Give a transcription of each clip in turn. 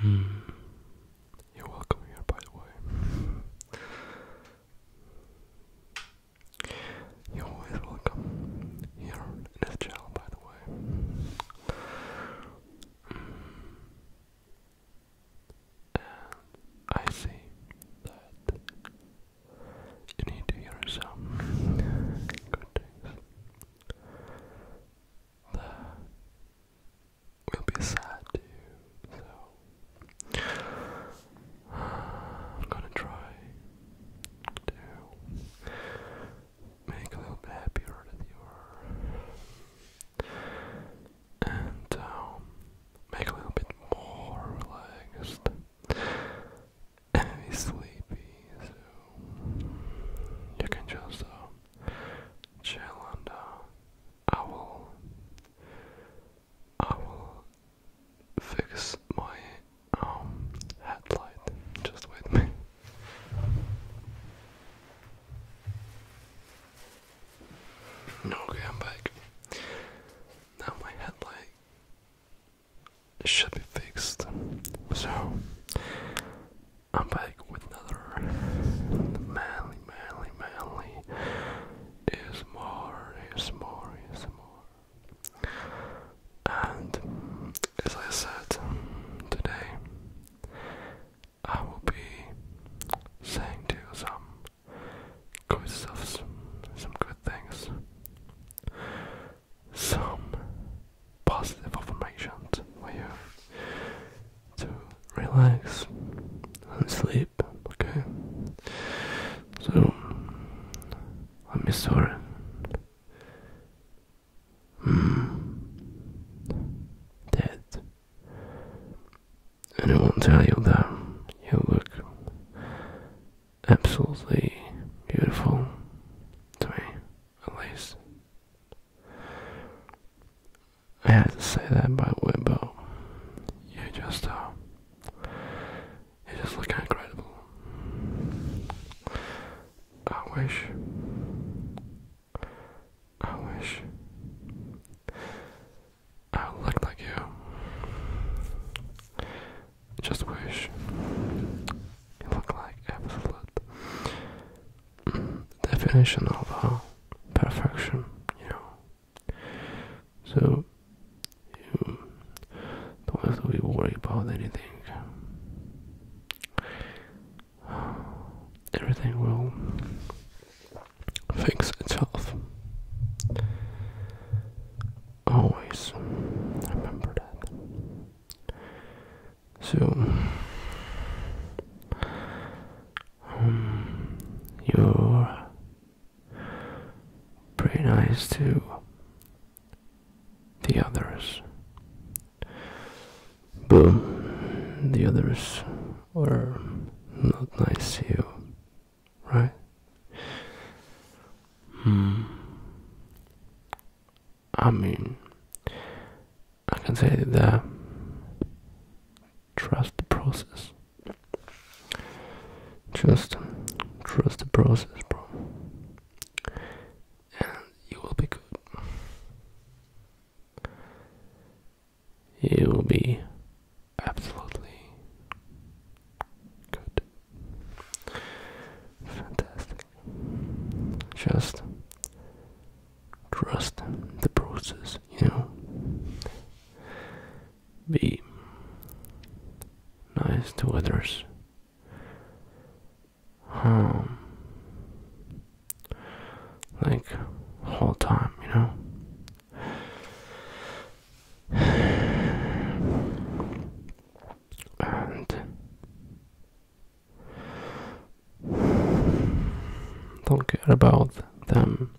Hmm. You're welcome here, by the way. You're always welcome here in this channel, by the way. And I see that you need to hear some good things that will be sad to you. So I'm gonna try to make a little bit happier than you are. And um, make a little bit more relaxed and sleepy, so you can just um, Chalander, Owl. Uh, I will fix my um, headlight. Just wait me. Okay, I'm back. Now my headlight should be fixed. So I'm back with another manly, manly, manly is more, is more, is more. And as I said today, I will be saying to you some good stuff, some good things, some positive affirmations for you to relax and sleep, okay? So, I'm sorry. Mm. Dead. And I won't tell you that you look absolutely beautiful to me at least. I had to say that by the you just, uh, you just look incredible. I wish, I wish I looked like you. Just wish you look like absolute definition of uh, perfection, you know. So you don't have to be worried about anything. Everything will fix itself. Always remember that. So, um, you're pretty nice to the others, but the others are not nice to you, right? Hmm. I mean, I can say that trust the process. Just trust the process, bro, and you will be good. You will be absolutely good. Fantastic. Just trust the process, you know. Be nice to others. Um, like whole time, you know. And don't care about them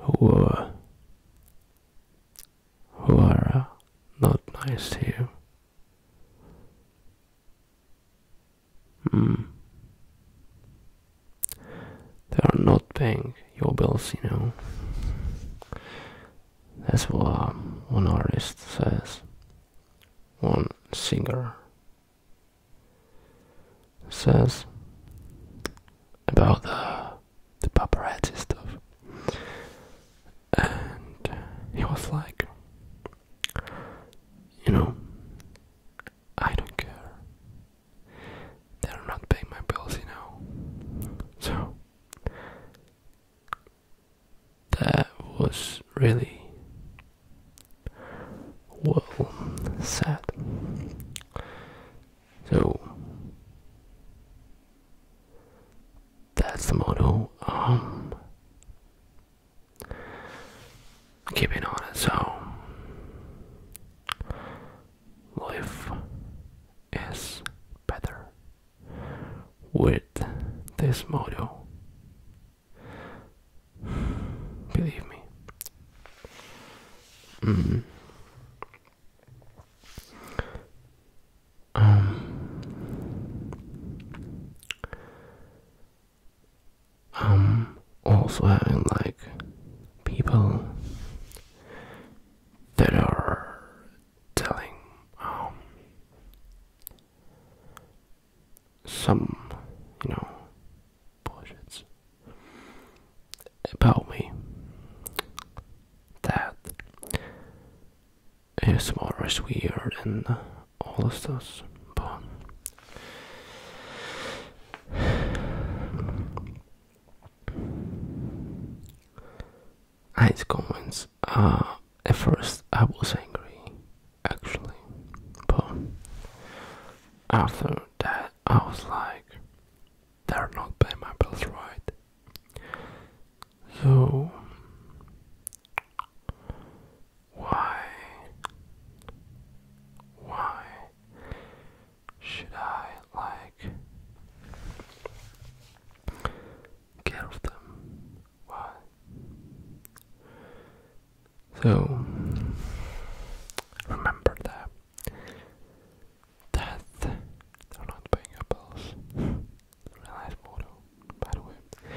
who uh, who are uh, not nice to you. Mm. They are not paying your bills, you know. That's what um, one artist says. One singer says about the, the paparazzi stuff. And he was like, you know, I don't care. They're not paying my bills, you know. So that was really well sad. So that's the motto. Um, keeping on it. So life is better with this model. Believe me. Mm. Um, I'm also having like people that are telling um, some, you know, bullshits about me That is more is weird and all of those, but his comments. Uh, at first, I was angry, actually, but after that, I was like, they're not paying my bills right. So, why, why should I like? care of them. Why? So remember that death they're not paying your bills. Realize motto, by the way.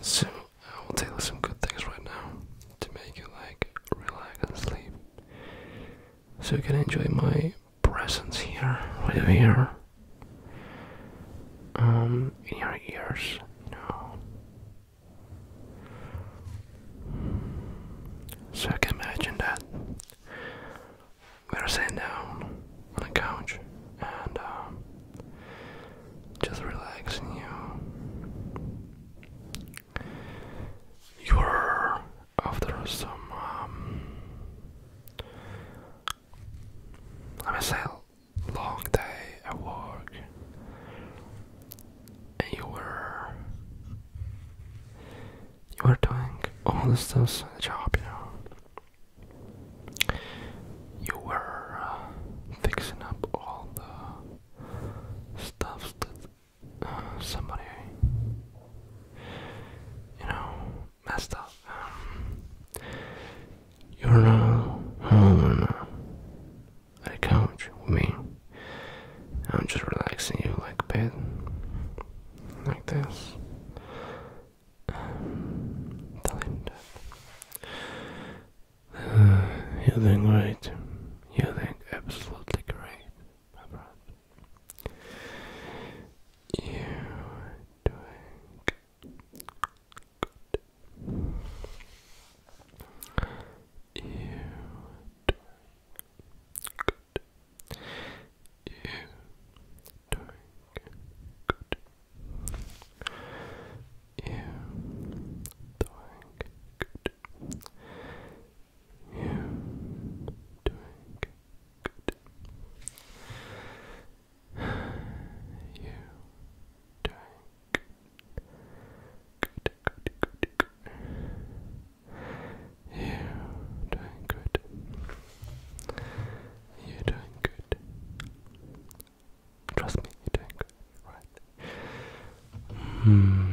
So I will tell you some good things right now to make you like relax and sleep so you can enjoy my presence here, right here, um, in your ears, you So I can imagine that we're sitting down on a couch and um, just relaxing you. You're after some um, let me say long day at work and you were you were doing all the stuff in the job, you know. You were uh, fixing up all the stuff that uh, somebody you know, messed up. you're not on a couch with me. I'm just relaxing you like a like this. tell him that. Uh, you think great. You think absolutely great, you doing good. You doing good. You doing good. You doing good you doing good. you doing good. Good, good, good. you doing good. you doing good. Trust me, you doing good, right? Mm.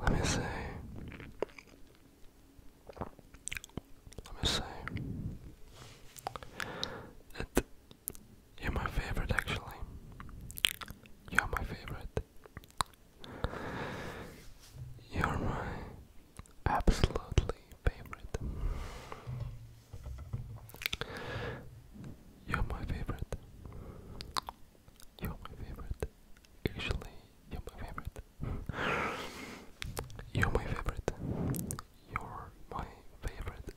let me see. Let me see. It, you're my favorite, actually. You're my favorite. You're my absolutely favorite. You're my favorite. You're my favorite. Actually, you're my favorite. you're my favorite. You're my favorite.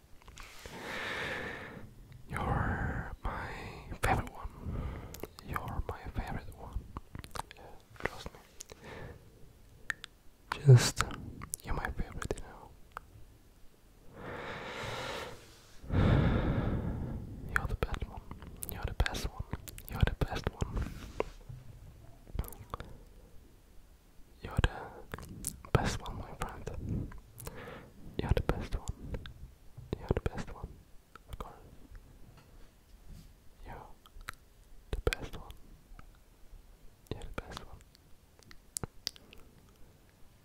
You're my favorite one. You're my favorite one. Yeah, trust me. Just, you're my favorite, you you're the best one. You're the best one. You're the best one. You're the best one, my friend. You're the best one. You're the best one. Of course. You're the best one. You're the best one.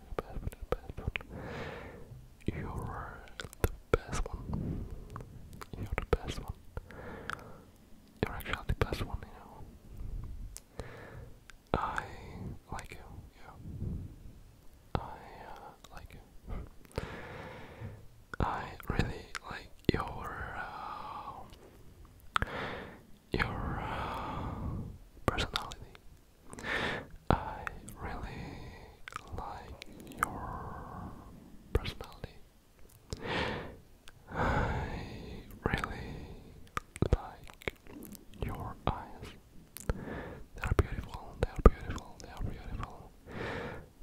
best one, best one. You're the best one. You're the best one. You're actually the best one, you know. I like you, yeah. I uh, like you. I really like your uh, your uh, personality. I really like your personality. I really like your eyes. They are beautiful, they are beautiful, they are beautiful.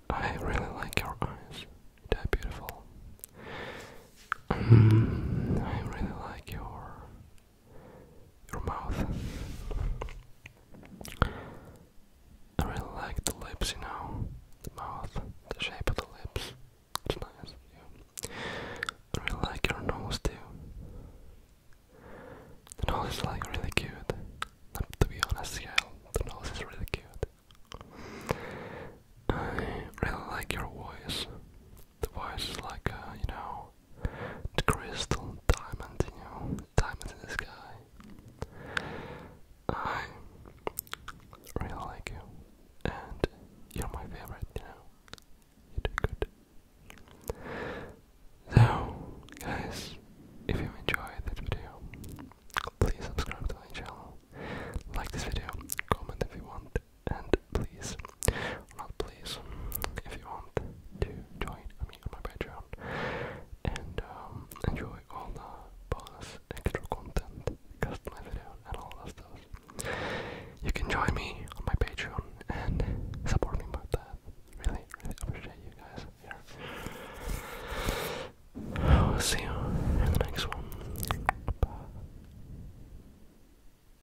I really like your eyes. They are beautiful. Mm, I really like your your mouth. I really like the lips, you know, the mouth, the shape of the lips. It's nice. Yeah. I really like your nose too. The nose is like really cute. to be honest, yeah, the nose is really cute. I really like your voice the voice is like uh, you know the crystal diamond, you know, diamond in the sky. I really like you, and you're my favorite. You know, you do good. So, guys, if you enjoyed that video, please subscribe to my channel, like this video, comment if you want, and please, not please, if you want to join me on my Patreon and um, enjoy all the bonus extra content, custom video and all that stuff. You can join me on my Patreon and support me about that. Really, really appreciate you guys here. I'll see you in the next one. Bye.